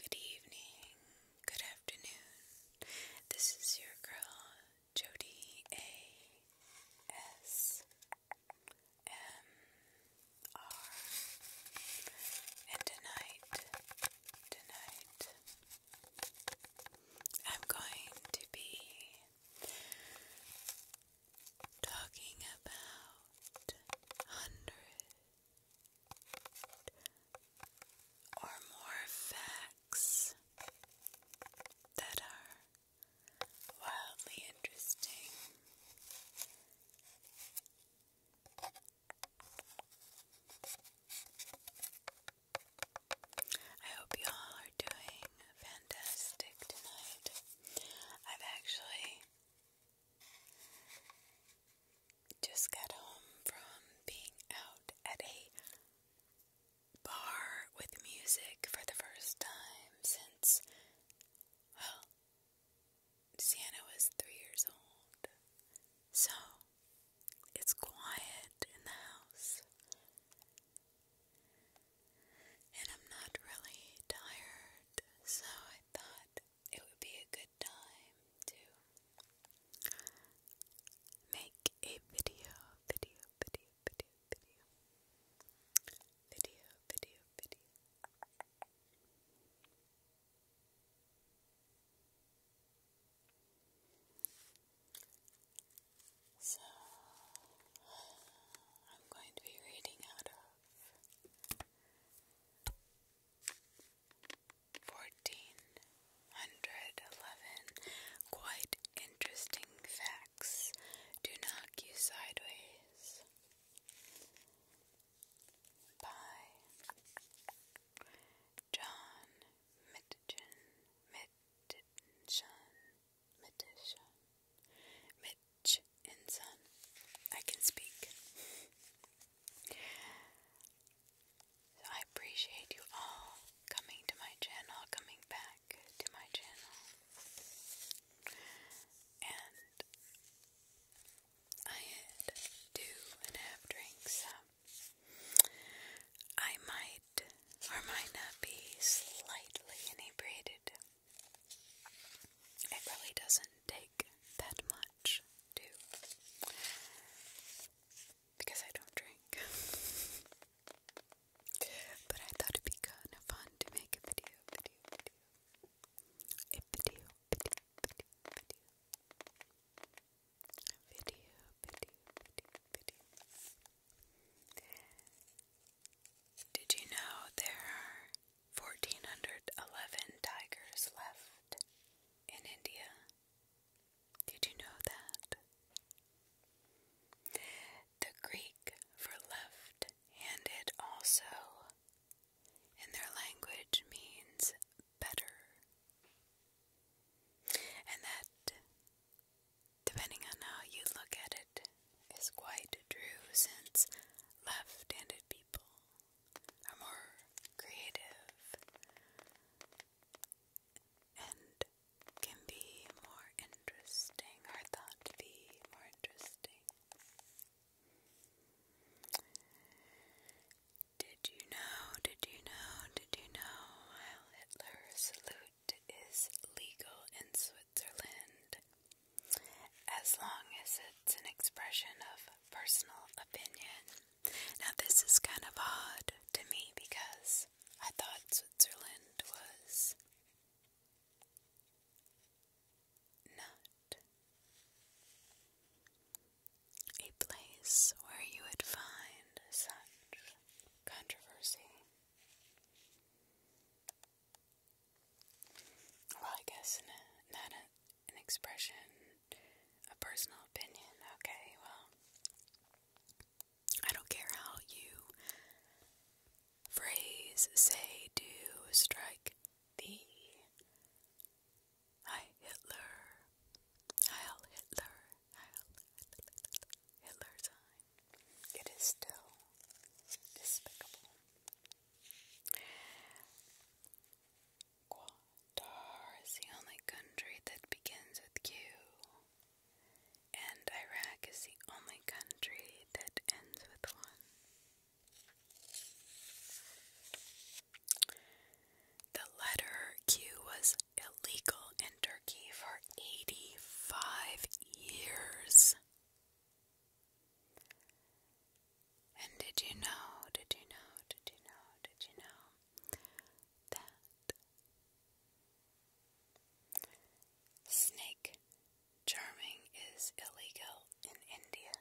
Good evening, good afternoon. This is your girl, Jody A. S. M. R. And tonight, tonight, I'm going to be talking about hundreds or more facts that are wildly interesting. I hope you all are doing fantastic tonight. I've actually just got home from being out at a bar with music for the first time since, well, Sienna was three years old. So, it's quiet in the house. And I'm not really tired, so I thought it would be a good time to make a video, video, video, video, video, video, video, video. So, I'm going to be reading out of 1411 Quite interesting facts. Do knock you sideways. By John Mitchin. Mitchin. Mitchin. Mitch and I can speak. I appreciate you all coming to my channel, coming back to my channel. And I had two and a half drinks, I might or might not be slightly inebriated. It really doesn't take that much because I don't drink. but I thought it'd be kind of fun to make a video, a video, a video. Did you know there are 1,411 tigers left in India. Did you know that? The Greek for left handed also in their language means better. And that, depending on how you look at it, is quite true since left handed people are more creative and can be more interesting, or thought be more interesting. Did you know, did you know, did you know while Hitler salute is legal in Switzerland as long as it's an expression of personal opinion? Now, this is kind of odd to me because I thought Switzerland was not a place where you would find such controversy. Well, I guess not, an expression a personal opinion. Okay, well, I don't care how you phrase, say, do, strike the Heil Hitler, Heil Hitler, Heil Hitler sign. It is still despicable. Qatar is the only country that begins with Q, and Iraq is the only country that ends with one. The letter Q was illegal in Turkey for 85 years. And did you know, did you know, did you know, did you know that snake charming is illegal in India?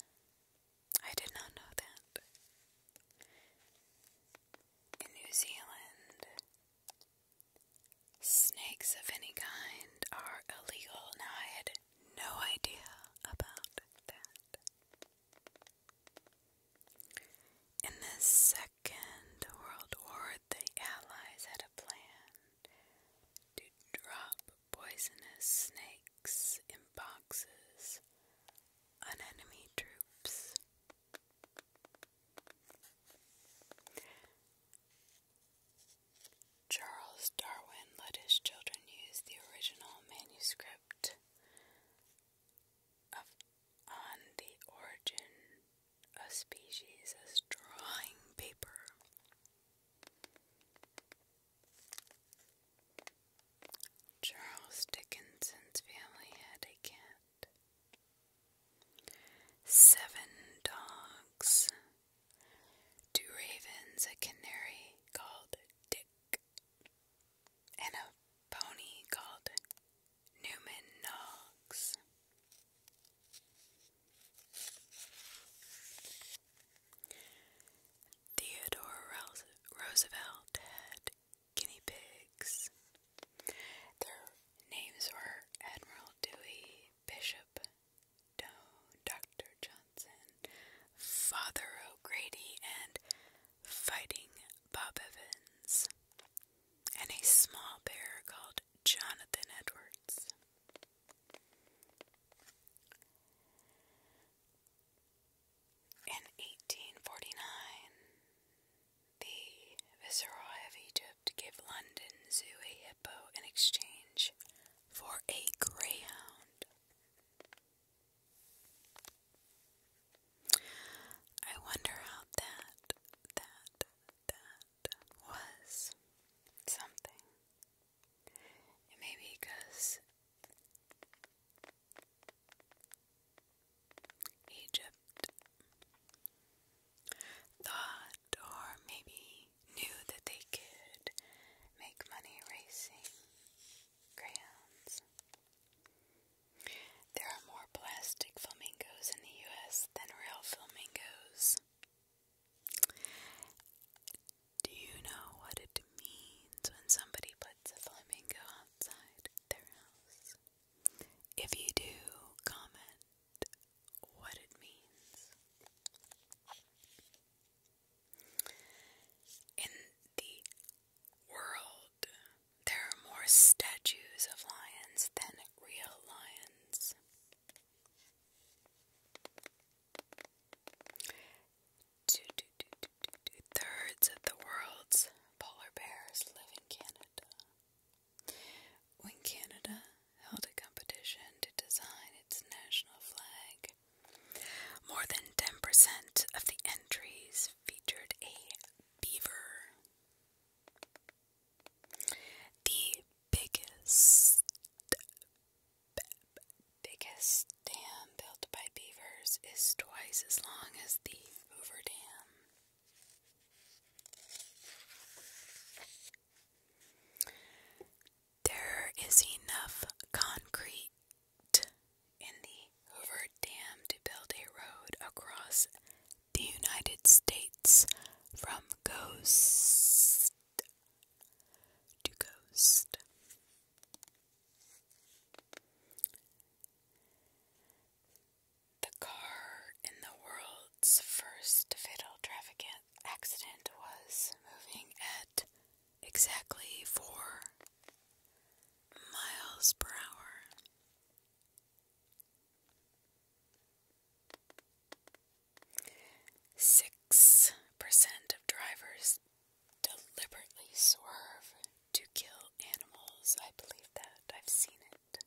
I did not know that. In New Zealand, snakes of any kind are illegal. Now, I had no idea about that. In the Second World War, the Allies had a plan to drop poisonous snakes in boxes on enemy troops. Charles Darwin let his children use the original manuscript of on the origin of species as drawing paper. Charles Dickinson's family had a cat, seven dogs, two ravens, a canary called Dick, and a pony called Newman Noggs. Theodore Roosevelt had guinea pigs. Their names were Admiral Dewey, Bishop Dr. Johnson, Father O'Grady, and fighting Bob Evans, and a small bear called Jonathan Edwards. In 1849, the Viceroy of Egypt gave London Zoo a hippo in exchange for a greyhound. I wonder how that, that, that was something. It may be because Egypt thought or maybe knew that they could make money racing crayons. There are more plastic flamingos in the US than real flamingos. Do you know what it means when somebody puts a flamingo outside their house? If you do, comment what it means. In the world there are more statues of lions than real lions. Two, two, two, two, two, two thirds of the world's polar bears live in Canada. When Canada held a competition to design its national flag, more than 10% of the entries featured a beaver. The biggest, biggest dam built by beavers is twice as long as the Hoover Dam. There is enough concrete in the Hoover Dam to build a road across the United States from coast to coast. The car in the world's first fatal traffic accident was moving at exactly four miles per hour. Six percent of drivers deliberately swerve to kill animals. I believe that. I've seen it.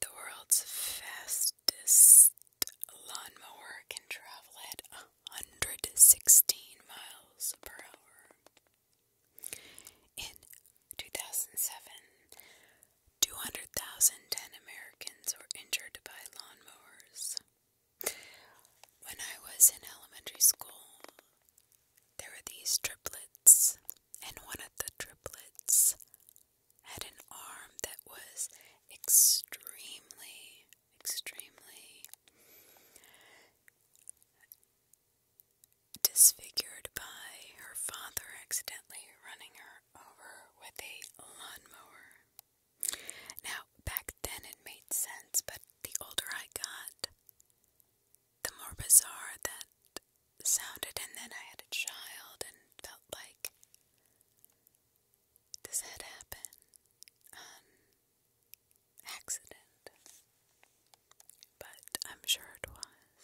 The world's fastest lawnmower can travel at hundred sixteen miles per hour. In 2007, 200,010 Americans were injured by lawnmowers. When I was in elementary school, there were these triplets, and one of the triplets had an arm that was extremely extremely disfigured by her father accidentally running her over with a lawnmower. Now, back then it made sense, but the older I got, the more bizarre that sounded. And then I had a child and felt like, does that happen um, accident, but I'm sure it was.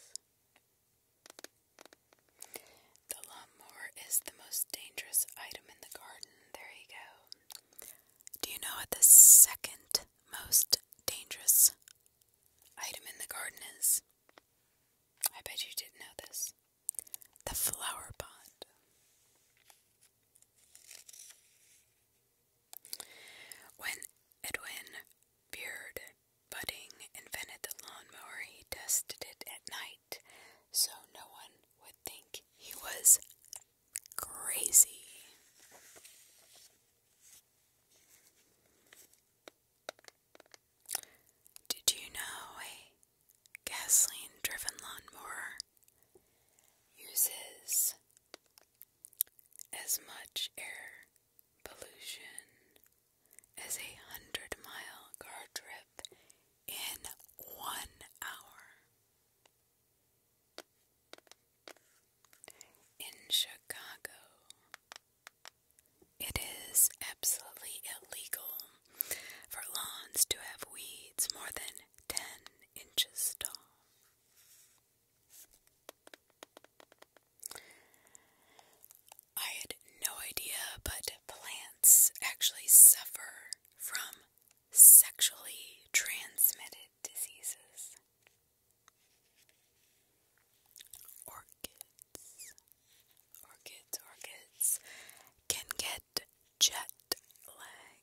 The lawnmower is the most dangerous item in the garden. There you go. Do you know what the second most dangerous item in the garden is? I bet you didn't know this. The flower pot. When Edwin Beard Budding invented the lawnmower, he tested it at night so no one would think he was crazy. Did you know a gasoline driven lawnmower uses as much air pollution as a hundred mile car trip in one hour. In Chicago, it is absolutely illegal for lawns to have weeds more than 10 inches tall. I had no idea, but plants actually suffer from sexually transmitted diseases. Orchids, orchids, orchids can get jet lag.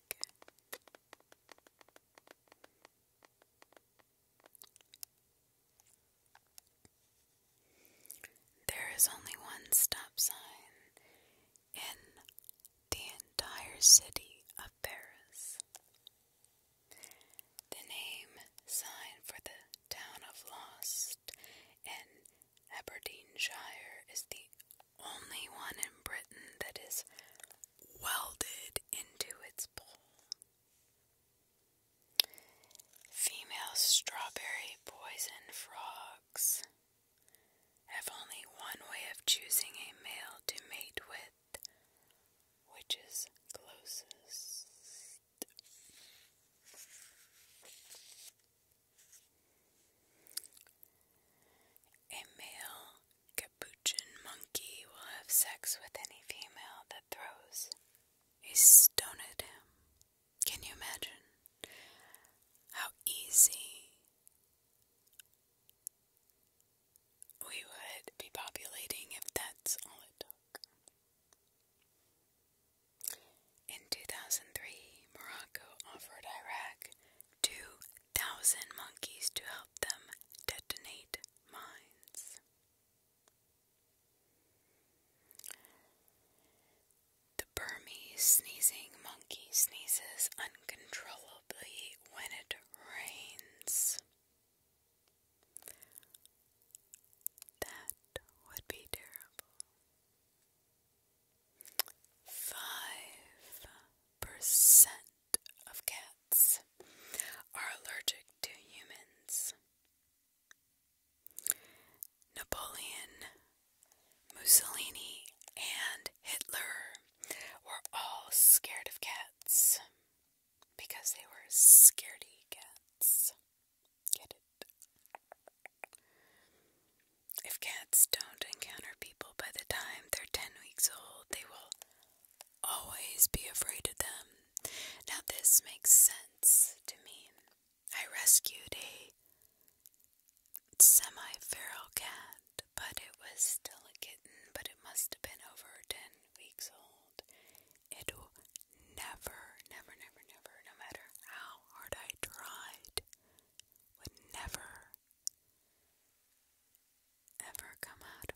There is only one stop sign in the entire city of Paris. The name sign for the town of Lost in Aberdeenshire is the only one in Britain that is welded into its bowl. Female strawberry poison frogs have only one way of choosing a male to mate with, which is closest. A male capuchin monkey will have sex with any female that throws a stone at him. Can you imagine how easy we would be populating if that's all it took? In 2003, Morocco offered Iraq two thousand monkeys to help them detonate mines. The Burmese sneezing monkey sneezes uncontrollably when it rains. That would be terrible. Five percent of cats are allergic to humans. Napoleon, Mussolini, and Hitler were all scared of cats because they were scaredy cats. Get it? If cats don't encounter people by the time they're 10 weeks old, they will always be afraid of them. Now, this makes sense to me. I rescued a semi feral cat, but it was still a kitten, but it must have been over 10 weeks old. It never, never, never, never, no matter how hard I tried, would never ever come out of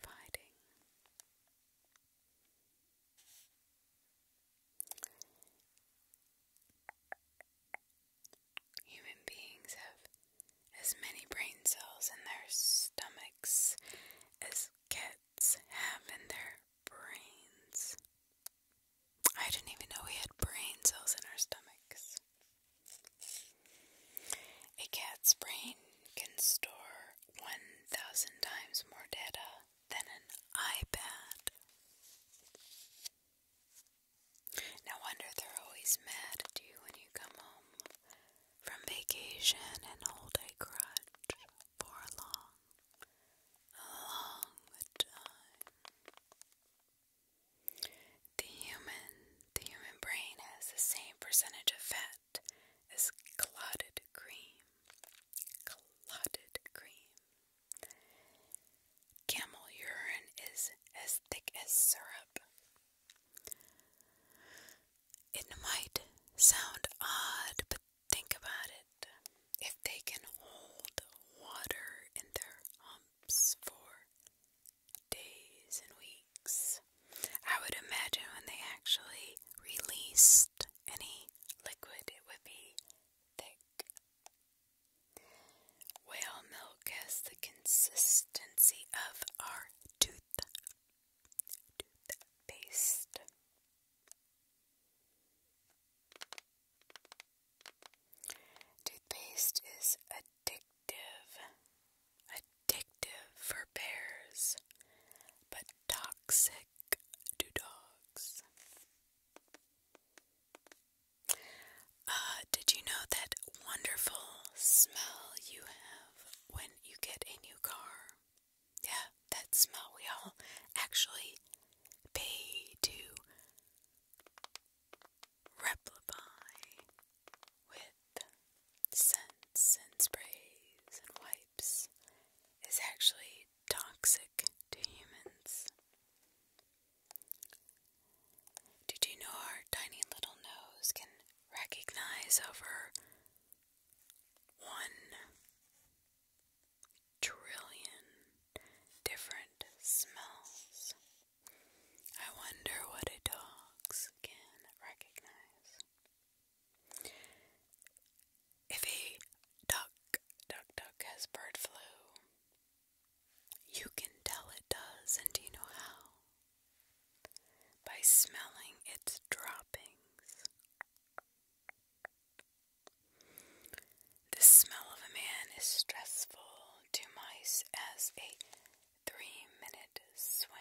Human beings have as many brain cells in their stomachs as cats have in their brains. I didn't even know we had brain cells in our stomachs. A cat's brain can store 1,000 times more data than an iPad. No wonder they're always mad at you when you come home from vacation and hold a grudge for a long, long time. The human the human brain has the same percentage of fat as clotted cream. Clotted cream. Camel urine is as thick as syrup. It might sound odd, but think about it. If they can hold water in their humps for days and weeks. I would imagine when they actually released any liquid, it would be thick. Whale milk has the consistency of our tooth toothpaste. Toothpaste is a addictive, addictive for bears, but toxic to dogs. Uh, did you know that wonderful smell you have when you get a new car? Yeah, that smell we all actually pay to replicate with scents and sprays and wipes is actually toxic to humans. Did you know our tiny little nose can recognize over one trillion different smells? I wonder what dog's can recognize. If a duck, duck, duck has bird flu, you can tell it does, and you know how? By smelling its droppings. The smell of a man is stressful to mice as a three minute swim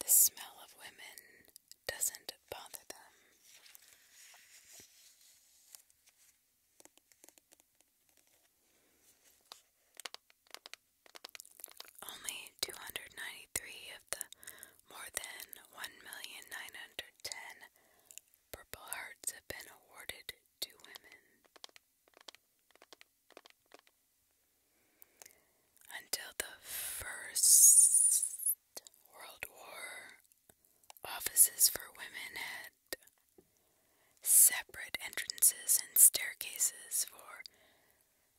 the smell of women doesn't bother them. Only 293 of the more than 1,910 Purple Hearts have been awarded to women. Until the First World War, offices for women had separate entrances and staircases for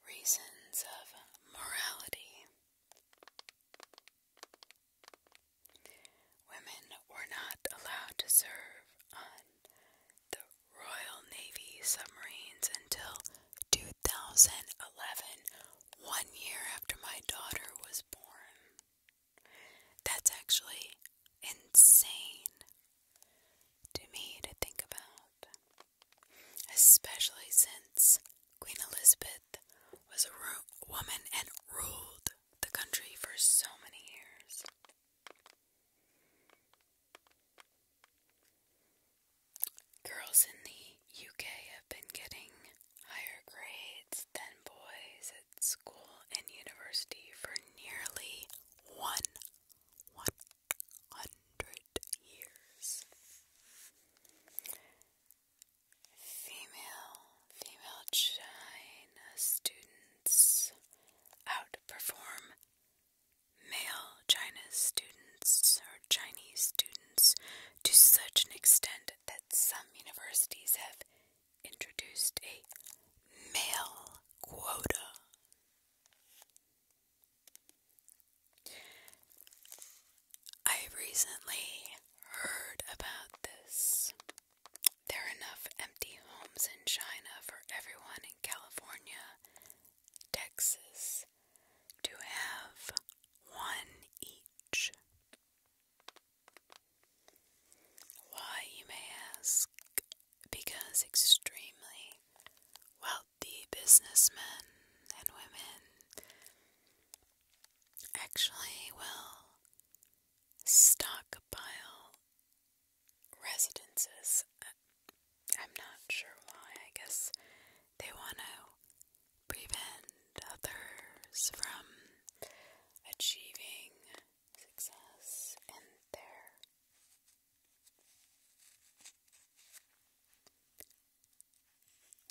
reasons of morality. Women were not allowed to serve on the Royal Navy submarines until 2011, one year after my daughter was born. That's actually insane to me to think about, especially since Queen Elizabeth was a ro- woman and ruled the country for so many years. Girls in the UK have been getting higher grades than boys at school and university for nearly one hundred years. Female, female China students outperform male China's students or Chinese students to such an extent that some universities have introduced a male quota. I recently heard about this. There are enough empty homes in China for everyone in California Texas to have one each. Why, you may ask? Because extremely wealthy businessmen and women actually will stockpile residences. I'm not sure why. I guess they want to prevent others from achieving success in their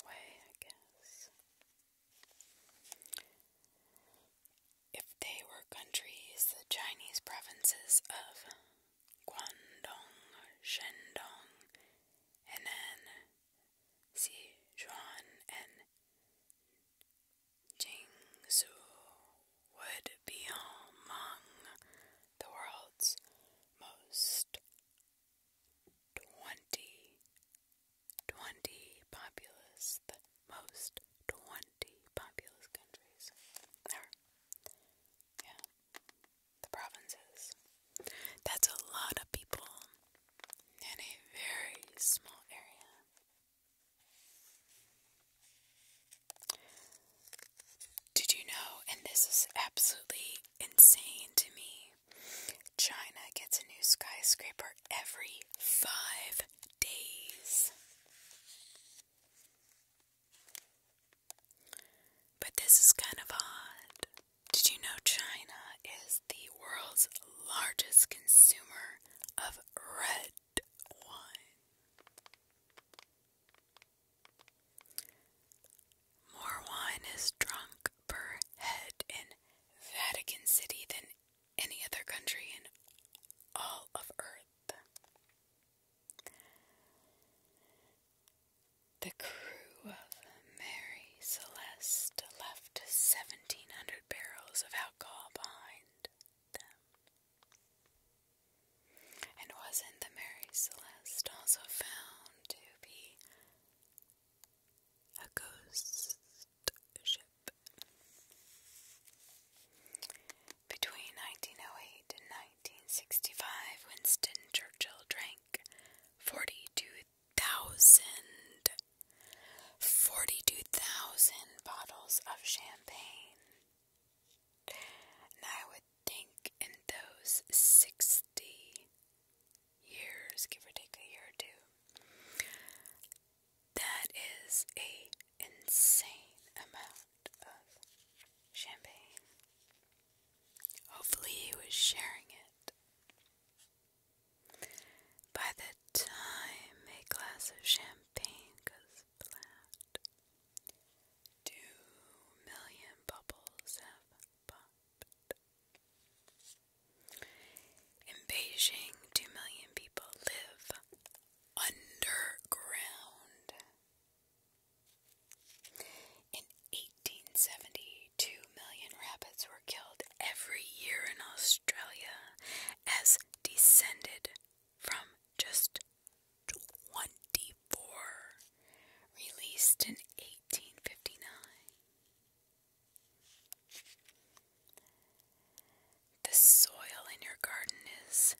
way, I guess. If they were countries, the Chinese provinces of Guangdong, Shandong, Henan, Sichuan, and Jingsu would be among the world's most 20, populous, most 20 populous countries. Or, yeah, the provinces. That's a lot of people in a very small area. Did you know, and this is absolutely insane to me, China gets a new skyscraper every five days. But this is kind of odd. Did you know China is the world's largest consumer of red wine? More wine is drunk per head in Vatican City than any other country in all of Earth. The crew of Mary Celeste left 1,700 barrels of alcohol behind them. And wasn't the Mary Celeste also found to be a ghost ship? Between 1908 and 1965, Winston Churchill drank 42,000 bottles of champagne. And I would think in those 60 years, give or take a year or two, that is a insane amount of champagne. Hopefully, he was sharing it. By the time a glass of champagne goes flat, two million bubbles have popped. In Beijing, two million people live underground. In 1872, million rabbits were killed every year in Australia, as descended from just 24 released in 1859. The soil in your garden is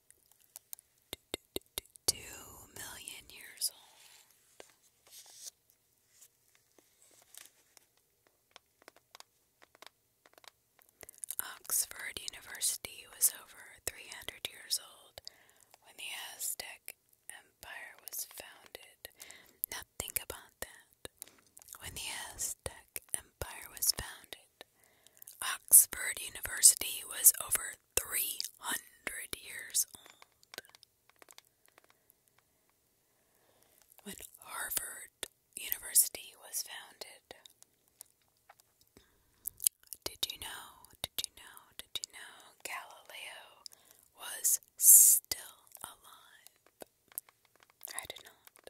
two million years old. Oxford University was over 300 years old when the Aztec Empire was founded. Now think about that. When the Aztec Empire was founded, Oxford University was over 300 years old. When Harvard University was founded, did you know, did you know, did you know Galileo was still alive? I did not.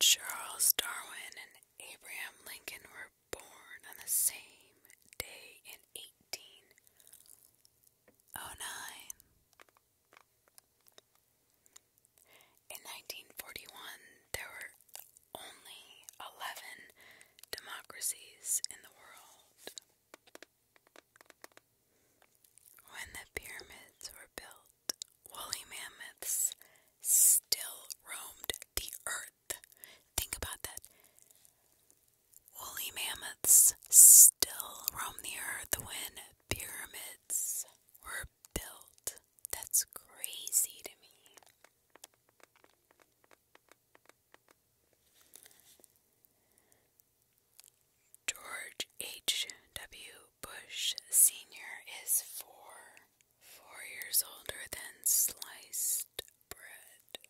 Charles Darwin and Abraham Lincoln were born on the same day in 1809. In 1941, there were only 11 democracies in the world. When the pyramids were built, woolly mammoths still roamed the earth. Think about that. Woolly mammoths still roam the earth when pyramids were built. That's crazy to me. George H. W. Bush Sr. is four Four years older than sliced bread.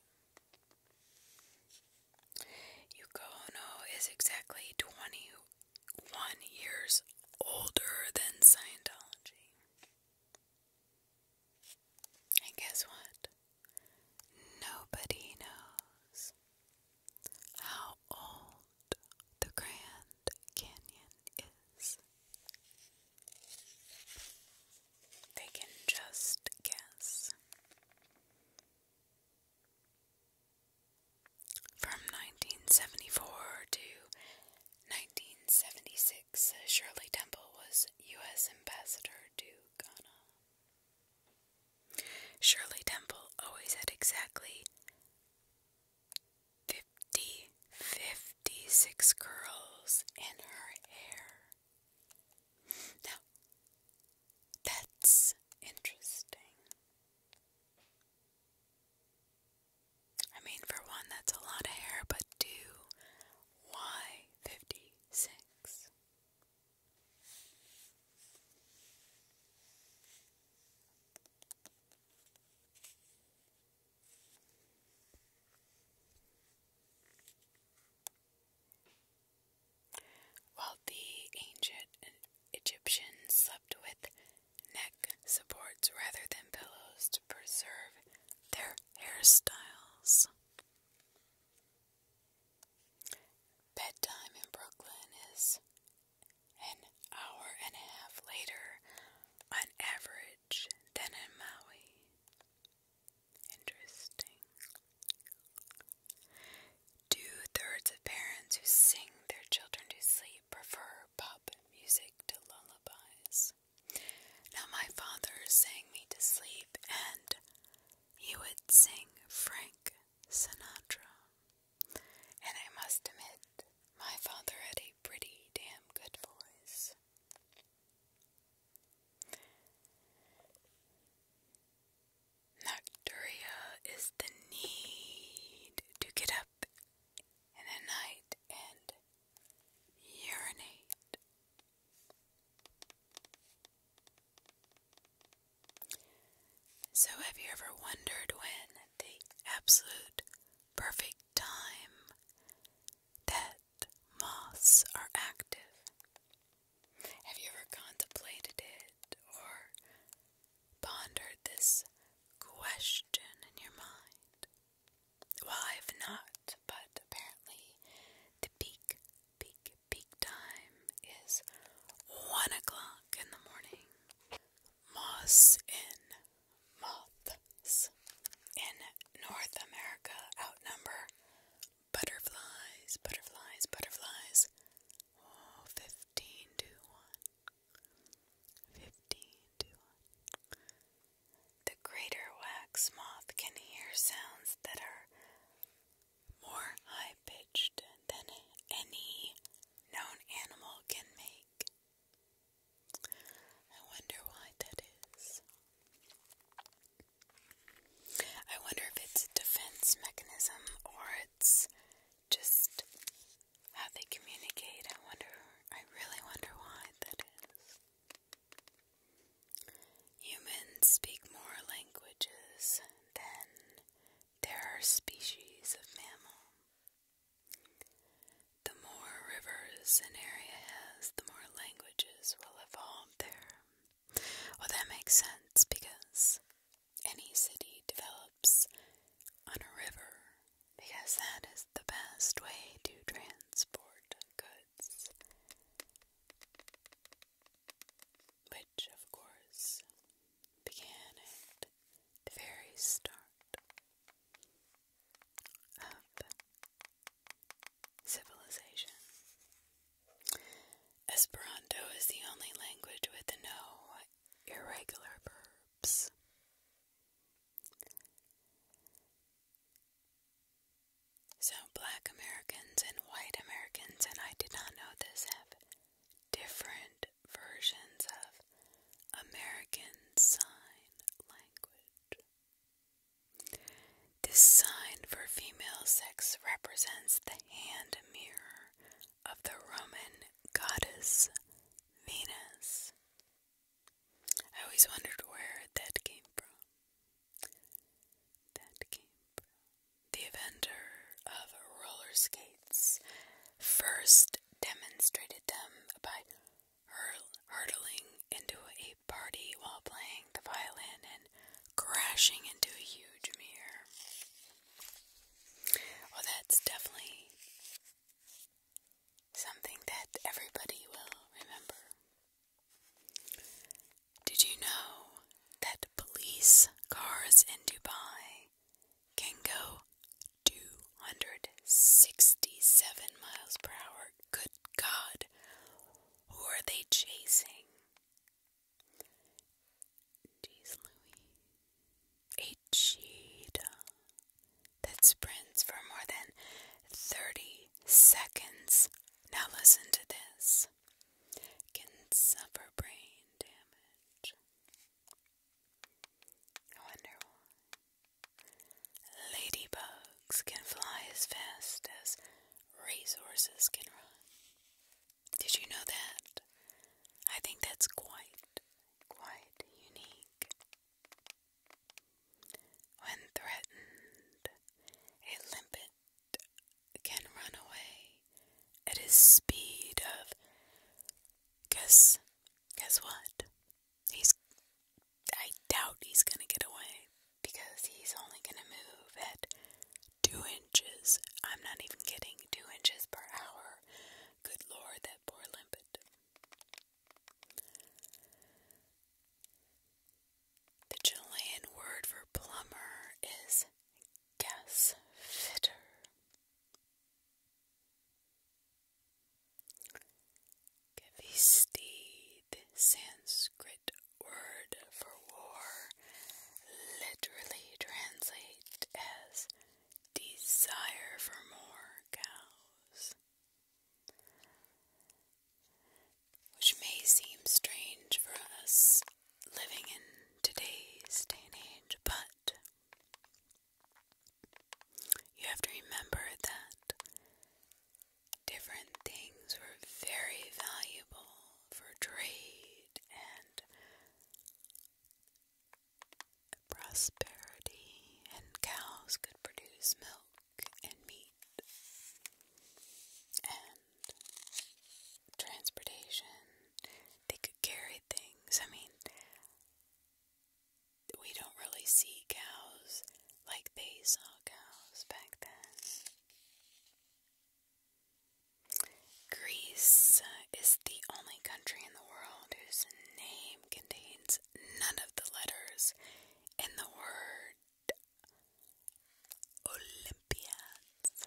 Yukono is exactly 21 years older than Scientology. And guess what? Nobody knows how old the Grand Canyon is. They can just guess. From 1974 to 1976, Shirley Temple was U.S. Ambassador to Ghana. Shirley Temple always had exactly Fifty, fifty six curls in her hair. Now, that's interesting. I mean, for one, that's a lot of hair, but two, why 56? While the ancient Egyptians slept with neck supports rather than pillows to preserve their hairstyles. Bedtime in Brooklyn is an hour and a half later on average than in Maui. Interesting. Two thirds of parents who sing their children to sleep prefer pop music to lullabies. Now, my father sang me to sleep, and he would sing Frank Sinatra. And I must admit, my father had a pretty damn good voice. Nocturia is the need to get up in the night and urinate. So, have you ever wondered when the absolute perfect time that moths are active. Have you ever contemplated it or pondered this question in your mind? Well, I've not, but apparently the peak, peak, peak time is one o'clock in the morning. Moss in Moths in North America outnumber butterflies, butterflies, butterflies. Oh, to 1. to 1. The greater wax moth can hear sounds that are more high pitched than any known animal can make. I wonder why that is. I wonder if it's a defense mechanism or it's just how they communicate. I wonder, I really wonder why that is. Humans speak more languages than there are species of mammals. The more rivers an area has, the more languages will evolve there. Well, that makes sense because any city develops on a river because that is the best way to transport goods. Which, of course, began at the very start of Civilization. Esperanto is the only language with no irregular verbs. So, black Americans and white Americans, and I did not know this, have different versions of American Sign Language. This sign for female sex represents the hand mirror of the Roman goddess Venus. I always wondered where that came from. That came The inventor of roller skates first demonstrated them by hurl hurtling into a party while playing the violin and crashing into a huge mirror. Well, that's definitely something that everybody will remember. Did you know that police cars in Dubai can go 267 miles per hour Good God, who are they chasing? Jeez Louis. A cheetah that sprints for more than 30 seconds. Now listen to this. Can suffer brain damage. I wonder why. Ladybugs can fly as fast as racehorses can run. Did you know that? I think that's quite, quite unique. When threatened, a limpet can run away at a speed of guess guess what? He's. I doubt he's gonna get away because he's only gonna move at two inches. I'm not even getting Two inches per hour. Good lord, that poor limpet. The Chilean word for plumber is gas fitter. Kavistid, Sanskrit word for war, literally translate as desire for more cows. Which may seem strange for us living in today's day and age, but you have to remember that different things were very valuable for trade and prosperity, and cows could produce milk and meat, and transportation. They could carry things. I mean, we don't really see cows like they saw cows back then. Greece uh, is the only country in the world whose name contains none of the letters in the word Olympiads.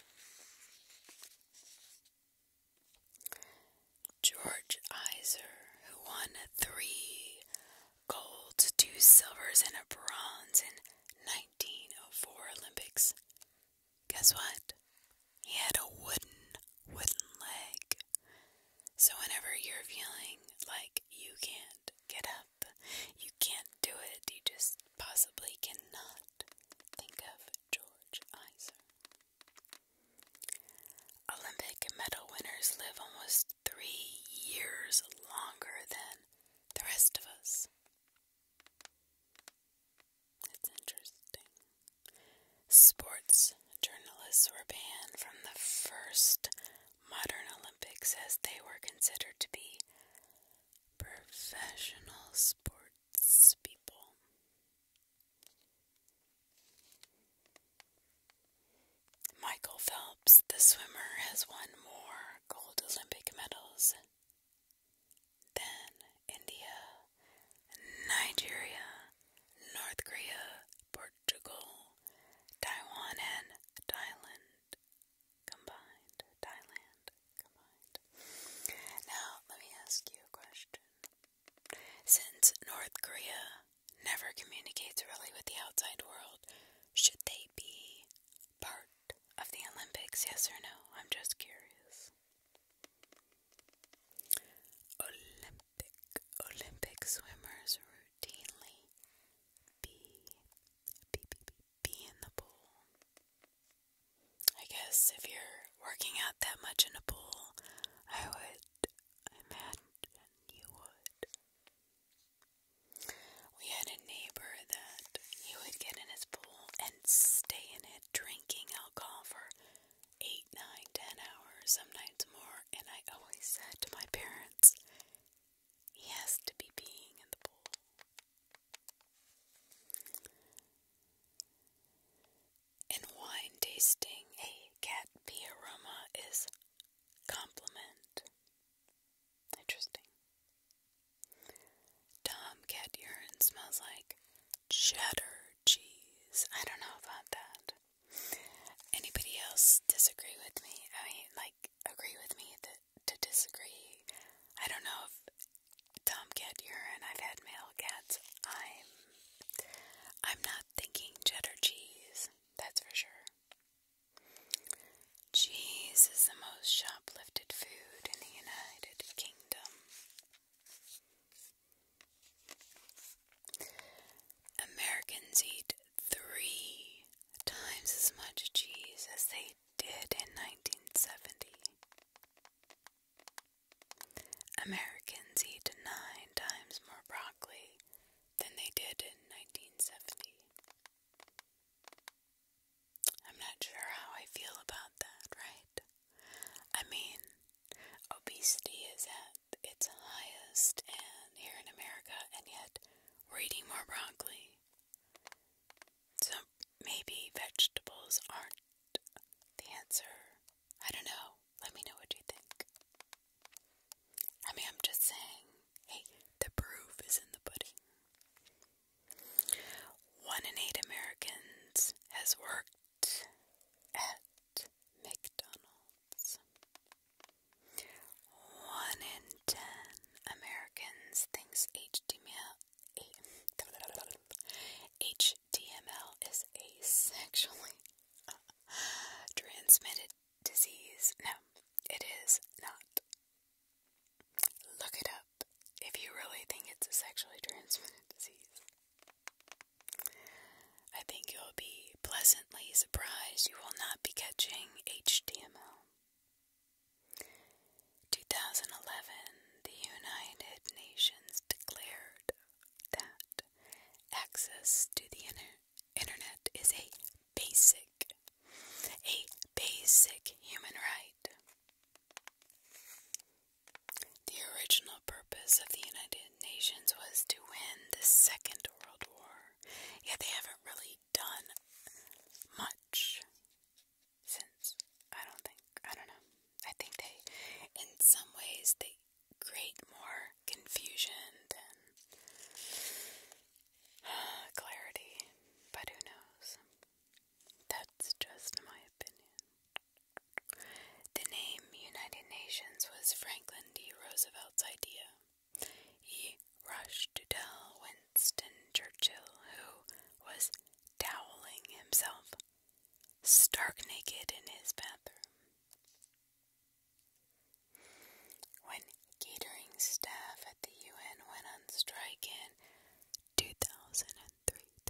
George Iser, who won three gold, two silvers, and a bronze in 1904 Olympics. Guess what? He had a wooden, wooden leg. So, whenever you're feeling like you can't get up, you can't do it, you just possibly cannot think of George Iser. Olympic medal winners live almost three years longer than the rest of us. It's interesting. Sports journalists were banned from the first modern Olympics as they were considered to be professional sports people. Michael Phelps, the swimmer, has won more gold Olympic medals than India, Nigeria, North Korea, Portugal, Taiwan, and Thailand combined. Thailand combined. Now, let me ask you a question. Since North Korea never communicates really with the outside world. Should they be part of the Olympics? Yes or no? I'm just curious. Olympic Olympic swimmers routinely be be, be, be, in the pool. I guess if you're working out that much in a pool, I would imagine you would. We had a neighbor that he would get in his pool and stay in it drinking alcohol for eight, nine, ten hours, some nights more, and I always said to my parents, he has to be peeing in the pool. In wine tasting, a cat pee aroma is compliment. Interesting. Tomcat urine smells like cheddar cheese. I don't know about that. Anybody else disagree with me? I mean, like, agree with me that to disagree. I don't know if tomcat urine. I've had male cats. I'm I'm not thinking cheddar cheese. That's for sure. Cheese is the most shoplifted food in the United Kingdom. Americans eat three times as much cheese as they did in 1970. Americans eat nine times more broccoli than they did in 1970. I'm not sure how I feel about that, right? I mean, obesity is at its highest and here in America, and yet we're eating more broccoli. So maybe vegetables aren't the answer. I don't know. Let me know what you think. I mean, I'm just saying, hey, the proof is in the pudding. One in eight Americans has worked at McDonald's. One in ten Americans thinks HTML, HTML is a sexually transmitted disease. No, it is not. Look it up if you really think it's a sexually transmitted disease. I think you'll be pleasantly surprised you will not be catching HTML. 2011, the United Nations declared that access to the inter internet is a basic a basic human right. The original purpose of the United Nations was to win the Second World War, yet they haven't really done much since. I don't think, I don't know. I think they, in some ways, they create more confusion than clarity, but who knows? That's just my opinion. The name United Nations was Franklin D. Roosevelt's idea. He rushed to tell Winston Churchill, who was toweling himself stark naked in his bathroom. When catering staff at the UN went on strike in 2003, 10,000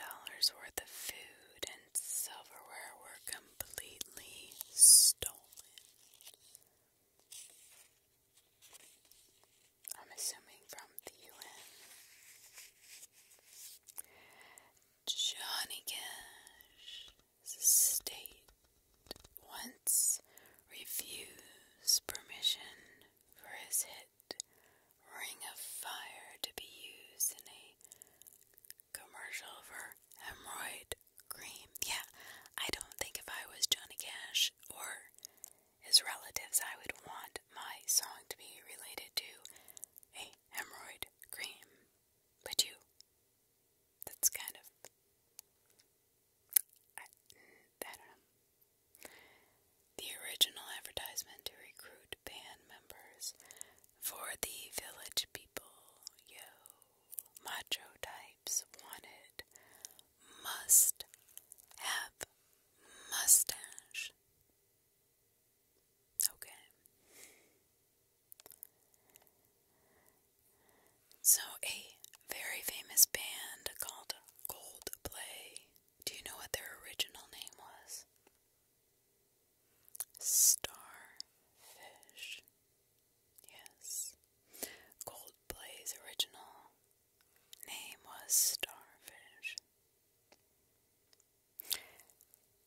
dollars worth of food and silverware were completely stolen. I'm assuming from the UN. Johnny Cash state once refused permission for his hit Ring of Fire to be used in a commercial for hemorrhoid cream. Yeah, I don't think if I was Johnny Cash or his relatives, I would want my song to be related to a hemorrhoid cream. But you? That's kind of. I, don't know. The original advertisement to recruit band members for the village people, yo, macho types wanted, must have mustache. Okay. So, a very famous band called Gold Play. Do you know what their original name was? Starfish. Yes. Gold Play's original name was Starfish.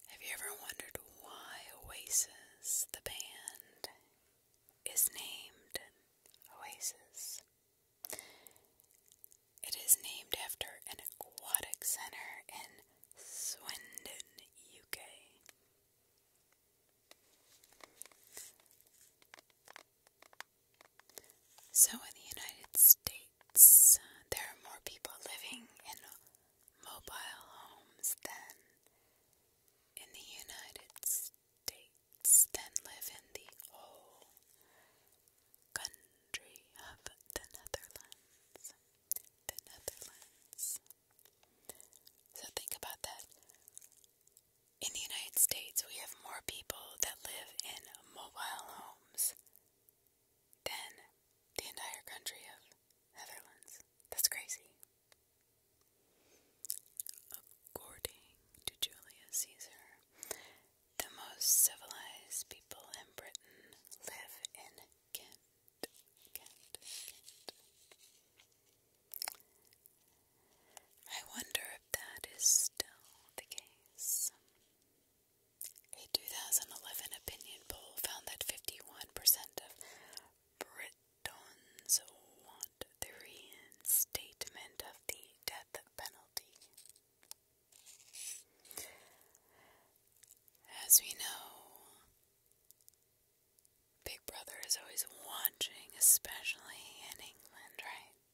Have you ever wondered why Oasis, the band, is named Oasis? It is named after an aquatic center in Swindon, UK. So, in the United States, uh, there are more people living in Mobile homes then in the United States then live in the whole country of the Netherlands. The Netherlands. So think about that. In the United States, we have more people that live in mobile homes than the entire country of Netherlands. That's crazy. According to Julius Caesar, the most civilized people in Britain live in Kent. I wonder if that is still the case. A 2011 opinion poll found that 51% of Britons want the reinstatement of the death penalty. As we know, Big Brother is always watching, especially in England, right?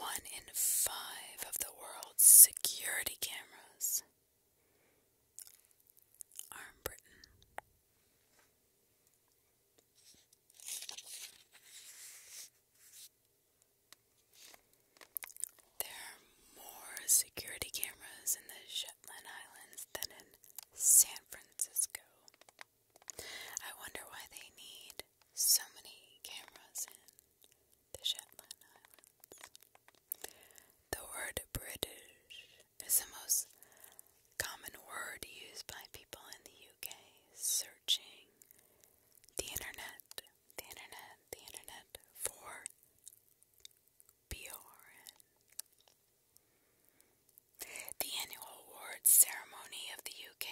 One in five of the world's security cameras Arm Britain. There are more security cameras in the Shetland Islands than in San Francisco. I wonder why they need so many cameras in the Shetland Islands. The word British is the most common word used by people in the UK searching the internet, the internet, the internet for Bjorn. The annual awards ceremony of the UK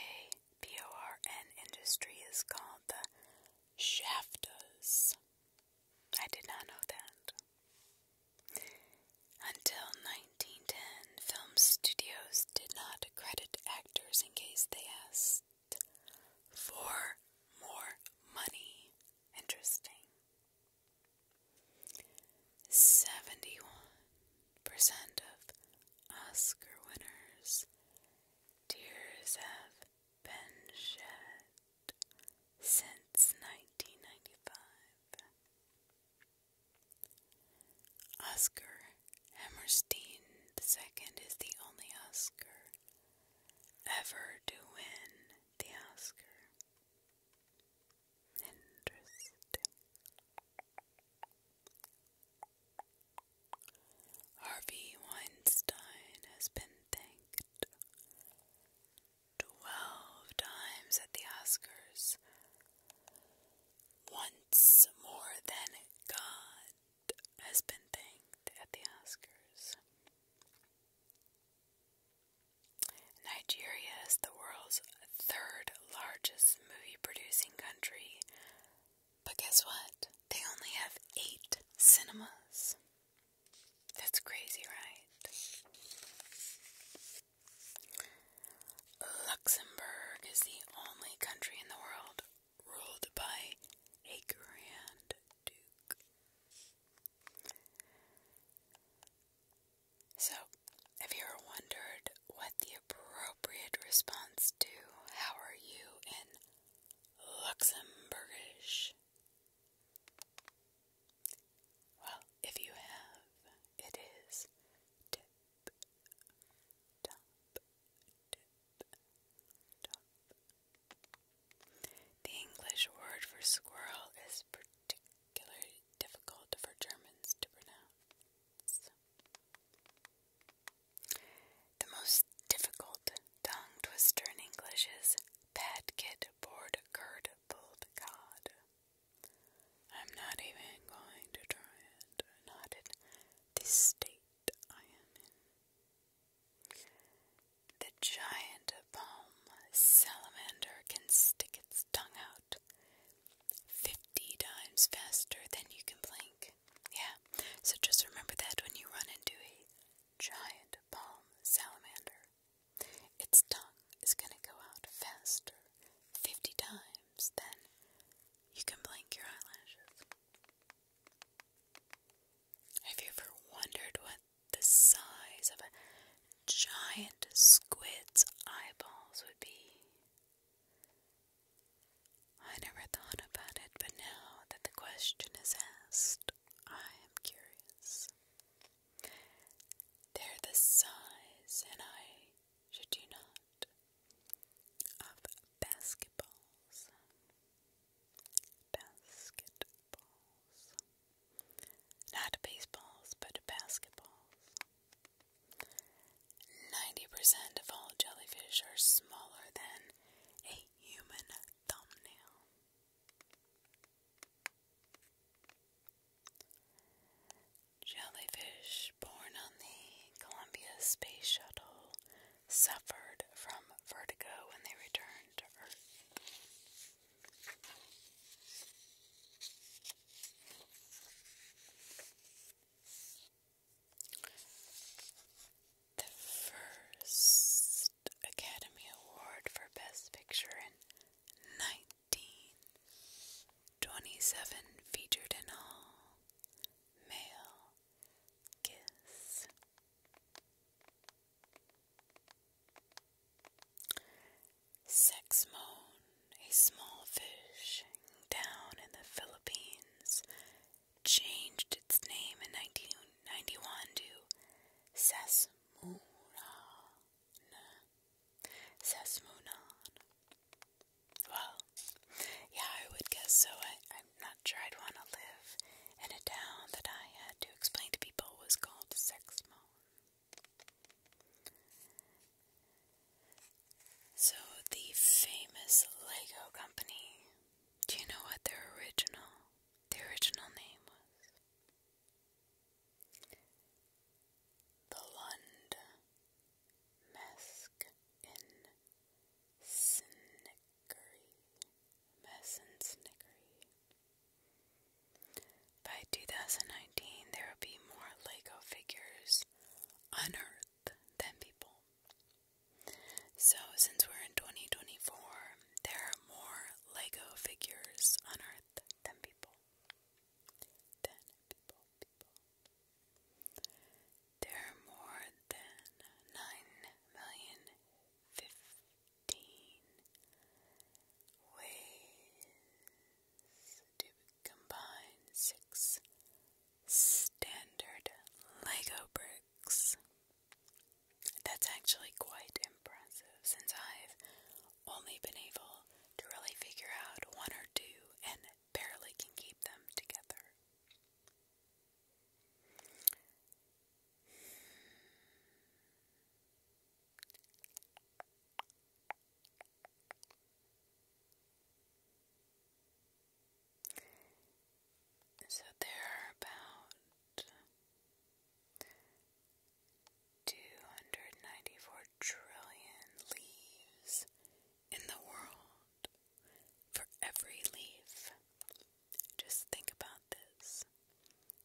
BORN industry is called the Shaftas. I did not know that. Until 1910, film studios did not credit actors in case they asked for more money. Interesting. 71% of Oscar winners' tears have been shed since 1995. Oscar Hammerstein II is the only Oscar ever to win the Oscar. Interesting. Harvey Weinstein has been thanked twelve times at the Oscars, once more than God has been thanked at the Oscars. Nigeria is the world's third largest movie producing country, but guess what? They only have eight cinemas. That's crazy, right? Luxembourg is the only country in the world ruled by a Grand Duke. So, have you ever wondered what the appropriate response to how are you in Luxembourgish well, if you have, it is tip top tip top. The English word for squirrel is particularly difficult for Germans to pronounce. The most difficult Tongue twister in English is Padkit Board Gurd Bold God. I'm not even going to try it, not in the state I am The giant palm salamander can stick its tongue out fifty times faster than you can blink. Yeah, so just remember that when you run into a giant palm salamander. Its tongue is going to go out faster 50 times than you can blink your eyelashes. Have you ever wondered what the size of a giant squid's eyeballs would be? I never thought about it, but now that the question is asked, I am curious. They're the size, and I should do not, of basketballs. Basketballs. Not baseballs, but basketballs. 90% of all jellyfish are smaller than a human thumbnail. Jellyfish born on the Columbia Space Shuttle suffered from vertigo when they returned to Earth. The first Academy Award for Best Picture in 1927, featured in all male Kiss. Sex a small fish down in the Philippines, changed its name in 1991 to Sassoon Sasmoonan. Sasmoonan. Well, yeah, I would guess so. I, I'm not sure I'd want to live in a town that I had to explain to people was called Sexmoan. So, the famous Lego company, do you know what their original, the original name was? The Lund in Snickery, Mess Snickery. By 2019, there will be more Lego figures on than people. So, since we're in 2024, there are more Lego figures on Earth ten people. Ten people, people. are more than nine million fifteen ways to combine six standard Lego bricks. That's actually quite impressive since I've only been able to really figure out one or two and barely can keep them together. So there are about 294 trillion leaves in the world for every leaf. Just think about this.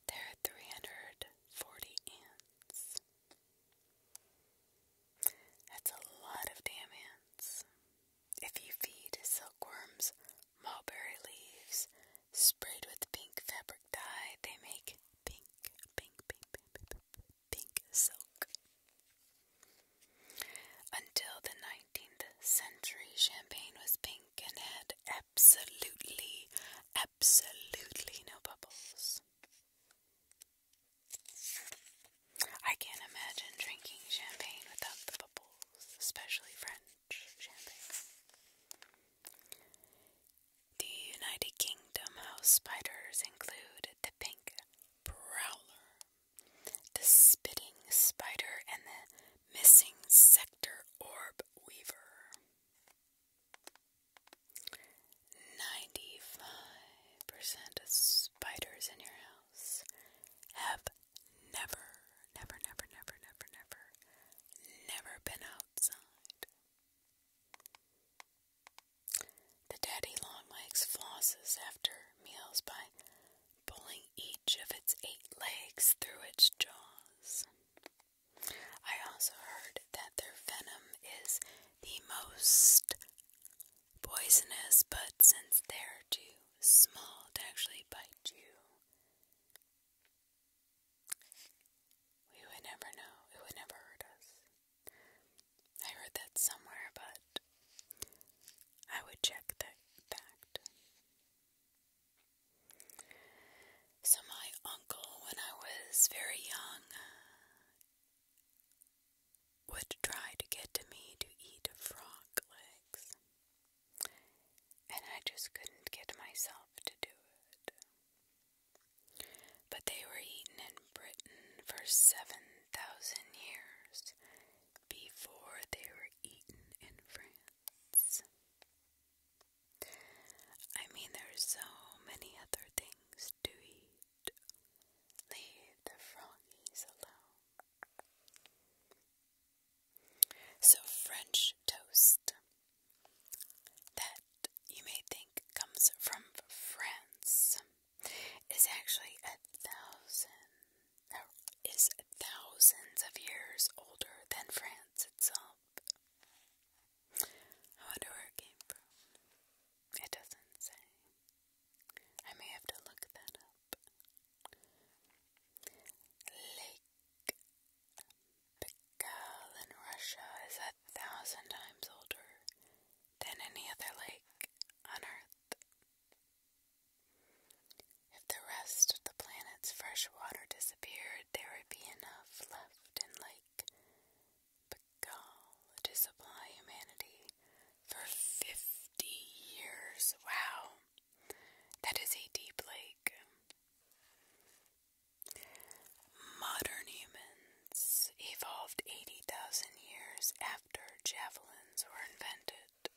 There are 340 ants. That's a lot of damn ants. If you feed silkworms mulberry leaves Sprayed with pink fabric dye, they make pink, pink, pink, pink, pink, silk. Until the 19th century, champagne was pink and had absolutely, absolutely no bubbles. I can't imagine drinking champagne without the bubbles, especially French champagne. The United Kingdom house spiders include the pink prowler, the spitting spider, and the missing sector orb weaver. 95% of spiders in your house have never, never, never, never, never, never, never been outside. The daddy longlegs flosses after meals by pulling each of its eight legs through its jaws. I also heard that their venom is the most poisonous, but since they're too small to actually bite you, we would never know. It would never hurt us. I heard that somewhere, but I would check that fact. So, my uncle, when I was very young, would try to get to me to eat frog legs, and I just couldn't get myself to do it. But they were eaten in Britain for 7,000 years before they were eaten in France. I mean, there's so many other things to eat. Leave the froggies alone. So, French toast that you may think comes from France is actually a thousand is thousands of years older than France itself. I wonder where it came from. It doesn't say. I may have to look that up. Lake the Kal in Russia is a thousand times older than any other lake on Earth. If the rest of the planet's fresh water disappeared, there would be enough left in Lake Baikal to supply humanity for 50 years. Wow! That is a deep lake. Modern humans evolved 80,000 years after javelins were invented.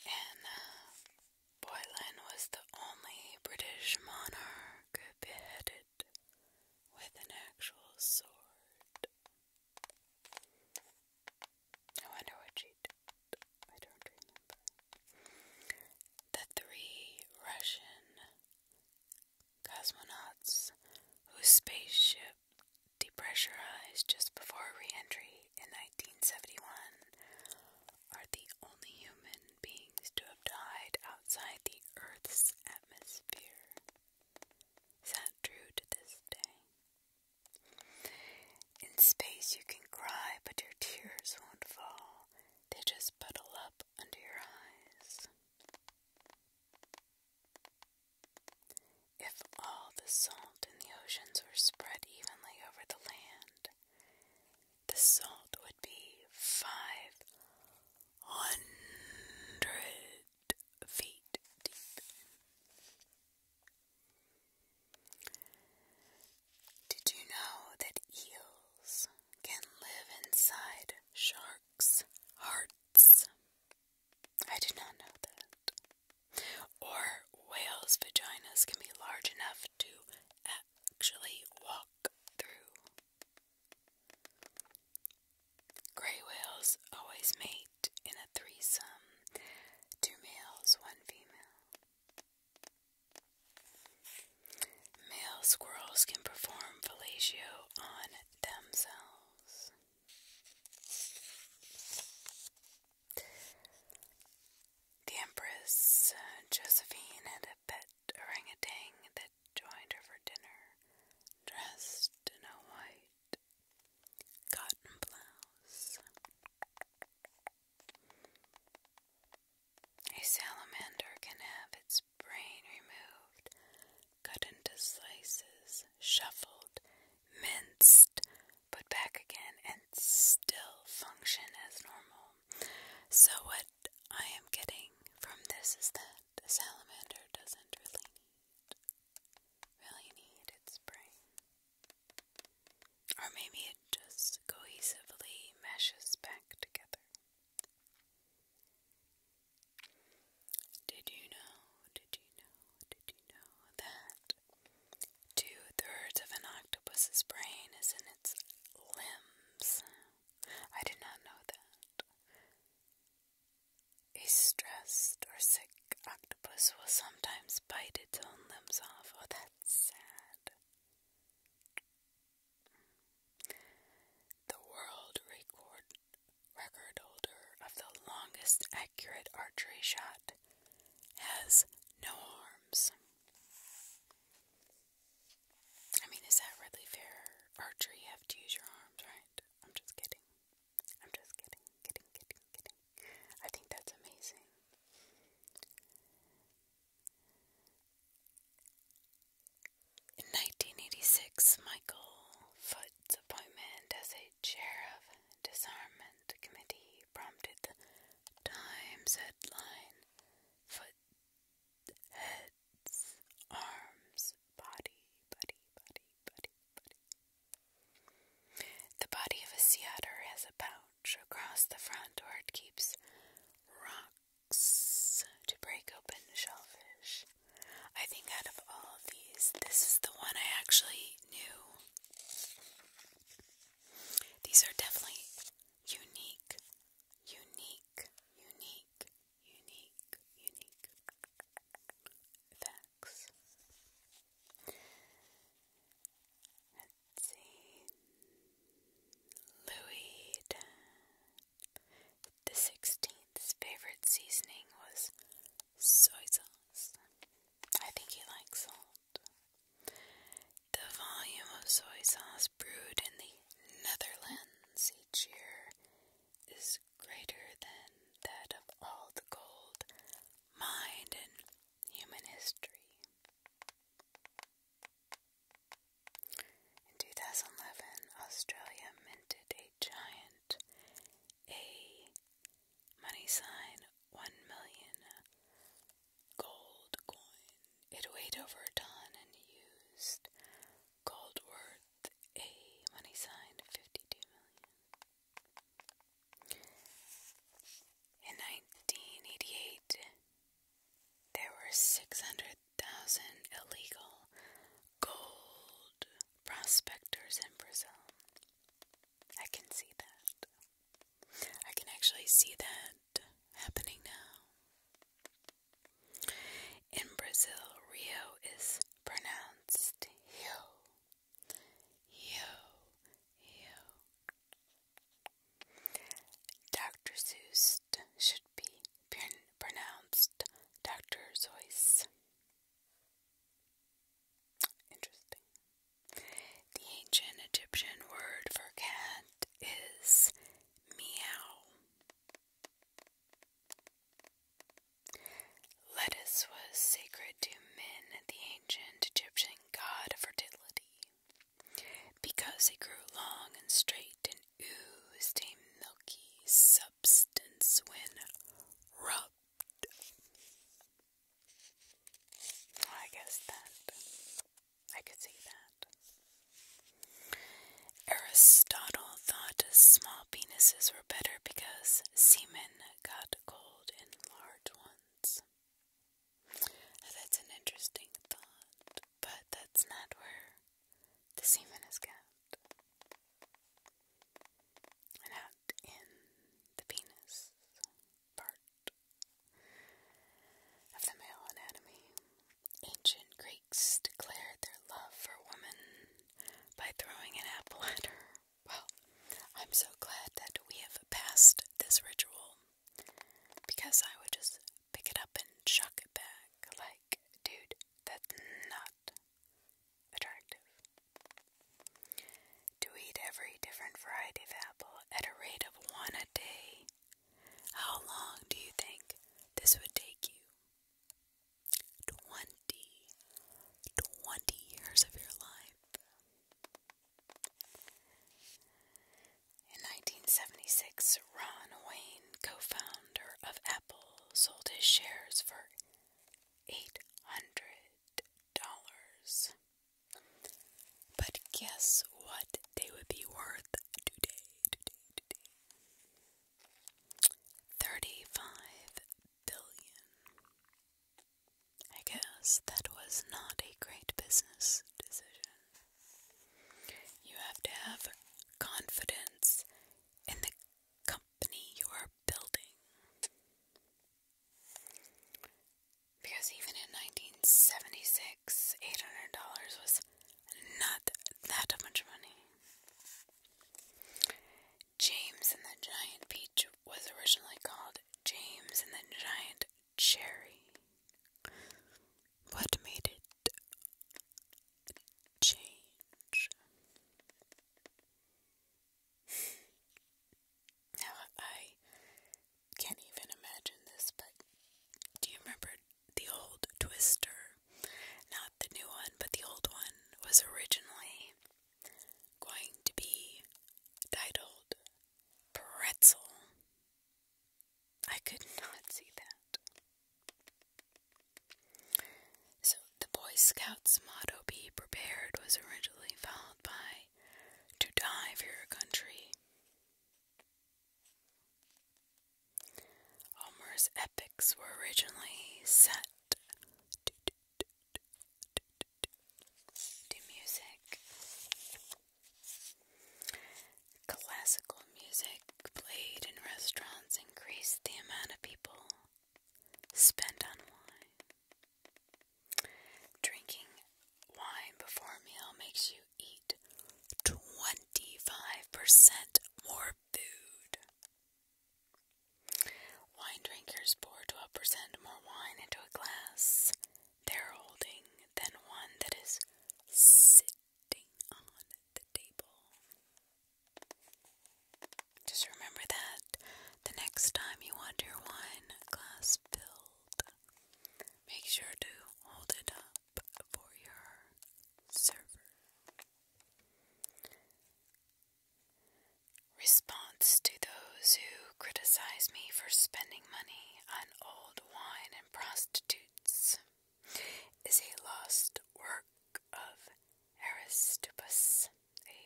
Anna uh, Boylan was the only British monarch beheaded with an actual sword. I wonder what she did. I don't remember. The three Russian cosmonauts whose spaceship depressurized just before re entry in 1971 are the only human beings to have died outside the Earth's atmosphere. Is that true to this day? In space, you can cry, but your tears won't fall. They just puddle up under your eyes. If all the salt in the oceans were spread evenly over the land, the salt would be five hundred feet deep. Did you know that eels can live inside sharks' hearts? I did not know that. Or whales' vaginas can be large enough to actually walk through. Gray whales always mate in a threesome two males, one female. Male squirrels can perform fellatio on themselves. The Empress uh, Josephine had a pet orangutan that joined her for dinner, dressed in a white cotton blouse, a salamander can have its brain removed, cut into slices, shuffled, minced, put back again, and still function as normal. So, what I am getting from this is that salamander doesn't really need really needed spring. Or maybe it just cohesively meshes back together. Did you know, did you know, did you know that two thirds of an octopus's brain is in its limbs? I did not know that. A stressed or sick octopus will sometimes bite its own limbs off. Oh, that's sad. The world record holder of the longest accurate archery shot has no arms. I mean, is that really fair? Archery, you have to use your arms, right? I'm just kidding. I'm just kidding, kidding, kidding, kidding. I think that's amazing. In 1986, Michael Foot's appointment as a chair of disarmament committee prompted the Times headline Foot heads, arms, body, body, body, body, body. The body of a sea otter has a pouch across the front where it keeps rocks to break open shellfish. I think out of all of these, this is the one I actually knew. These are definitely unique, unique, unique, unique, unique. Louis the Sixteenth's favorite seasoning was soy sauce. I think he likes salt. The volume of soy sauce brewed in the Netherlands each year is greater than that of all the gold mined in human history. In 2011, Australia minted a giant A money sign 1 million gold coin. It weighed over a ton and used gold worth a money sign 52 million. In 1988, there were 600,000 illegal gold prospectors in Brazil. I can see that. I can actually see that happening now. In Brazil, Rio is pronounced Rio. You, you. Dr. Seuss should be pronounced Dr. Zeus. Interesting. The ancient Egyptian word for cat is meow. Lettuce was sacred to men, the ancient Egyptian god of fertility, because it grew long and straight and oozed a milky substance when rubbed. I guess that. I could see that. Aristotle thought small penises were better because semen got not gold ones. That's an interesting thought, but that's not where the semen is kept. Not in the penis part of the male anatomy. Ancient Greeks declared their love for women by throwing an apple at her. Well, I'm so glad that we have passed this ritual because I would just pick it up and chuck it back. Like, dude, that's not attractive. To eat every different variety of apple at a rate of one a day, how long do you think this would take you? 20, years of your life. In 1976, Ron Wayne, co founder of Apple, sold his shares for $800. But guess what they would be worth today? 35 billion. I guess that was not a great business decision. You have to have confidence in the company you are building. Because even in 1976, $800 was not that much money. James and the Giant Peach was originally called James and the Giant Cherry. What made it change? now I can't even imagine this, but do you remember the old Twister? Not the new one, but the old one was originally going to be titled Pretzel. I could not see that. So, the Boy Scouts motto, Be Prepared, was originally followed by To Die for Your Country. Homer's epics were originally set do music. Classical music played in restaurants increased the amount of people spent on wine. Drinking wine before a meal makes you eat 25% more food. Wine drinkers pour 12% more wine into a glass they're holding than one that is sitting on the table. Just remember that the next time you want wine glass filled, make sure to hold it up for your server. Response to those who criticize me for spending money on old wine and prostitutes is a lost work of Aristippus, a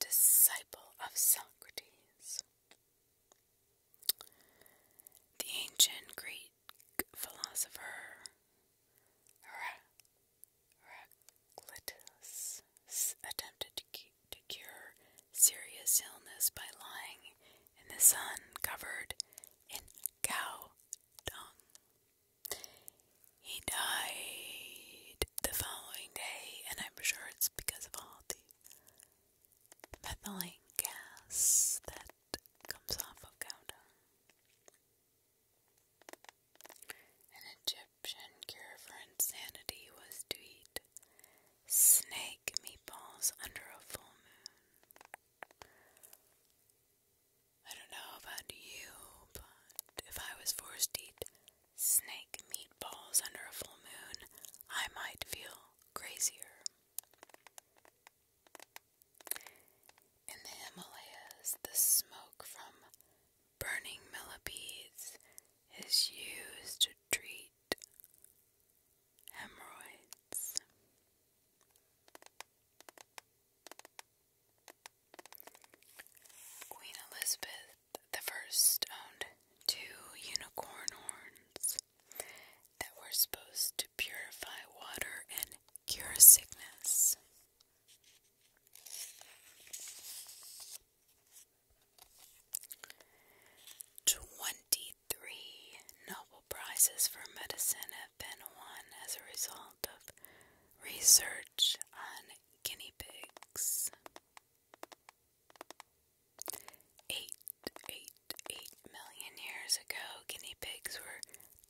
disciple of Socrates. The ancient Greek philosopher Glytus attempted to, cure serious illness by lying in the sun covered in cow dung. He died the following day, and I'm sure it's because of all the methylene gas that comes off of cow dung prescription cure for insanity was to eat snake meatballs under a full moon. I don't know about you, but if I was forced to eat snake meatballs under a full moon, I might feel crazier. In the Himalayas, the smoke from Burning millipedes is used to treat hemorrhoids. Queen Elizabeth I owned two unicorn horns that were supposed to purify water and cure sickness. Twenty-three Nobel Prizes for medicine have been won as a result of research on guinea pigs. Eight, eight, eight million years ago, guinea pigs were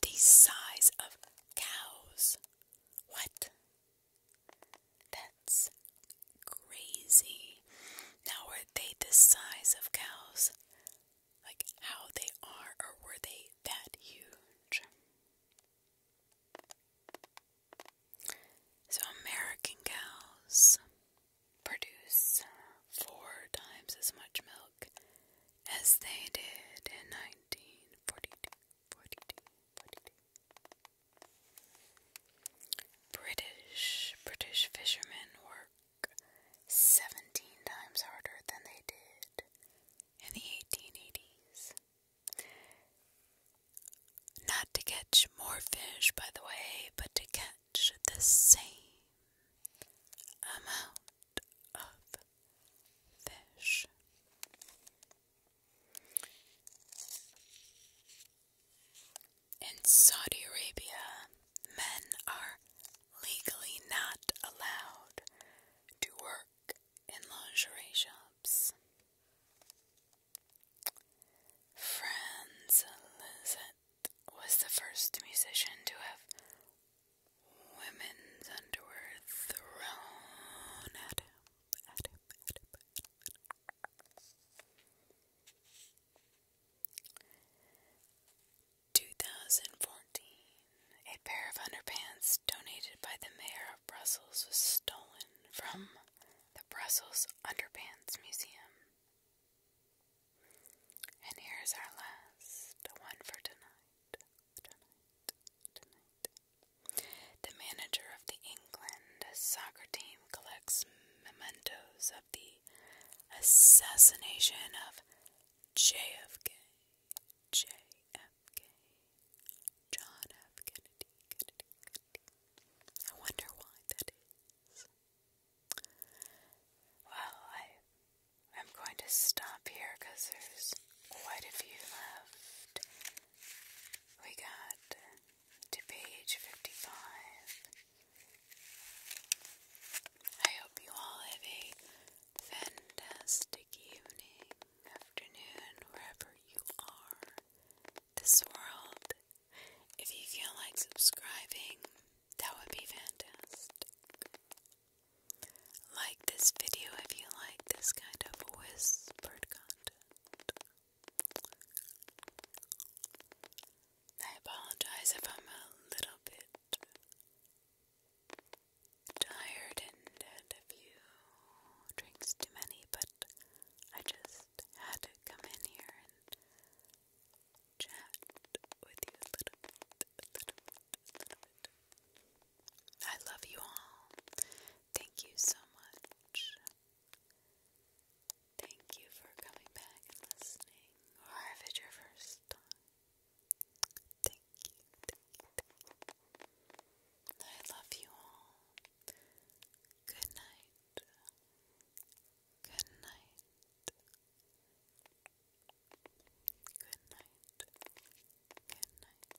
the size of cows. What? That's crazy. Now, were they the size of cows? Like how they are, or were they that huge? So, American cows produce four times as much milk as they did in 1942. British British fishermen work seventeen times harder than they did in the eighteen eighties. Not to catch more fish, by the way, but to catch the same amount of fish. In Saudi Arabia, men are legally not allowed to work in lingerie shops. Franz Liszt was the first musician to have women's underwear thrown at him, 2014. A pair of underpants donated by the mayor of Brussels was stolen from the Brussels Underpants Museum. And here's our last one for tonight. The manager of the England soccer team collects mementos of the assassination of JFK, John F. Kennedy. I wonder why that is. Well, I, I'm going to stop here because there's quite a few left. We got to page 55. I hope you all have a fantastic evening, afternoon, wherever you are. This world. If you feel like subscribing, that would be fantastic. Like this video if you like this kind of whispered content. I apologize if I'm a little bit tired and had a few drinks too many, but I just had to come in here and chat with you a little bit, I love you all. Thank you so much Thank you for coming back and listening, or oh, if it's your first time. Thank you, I love you all. Good night. Good night. Good night. Good night. Good night.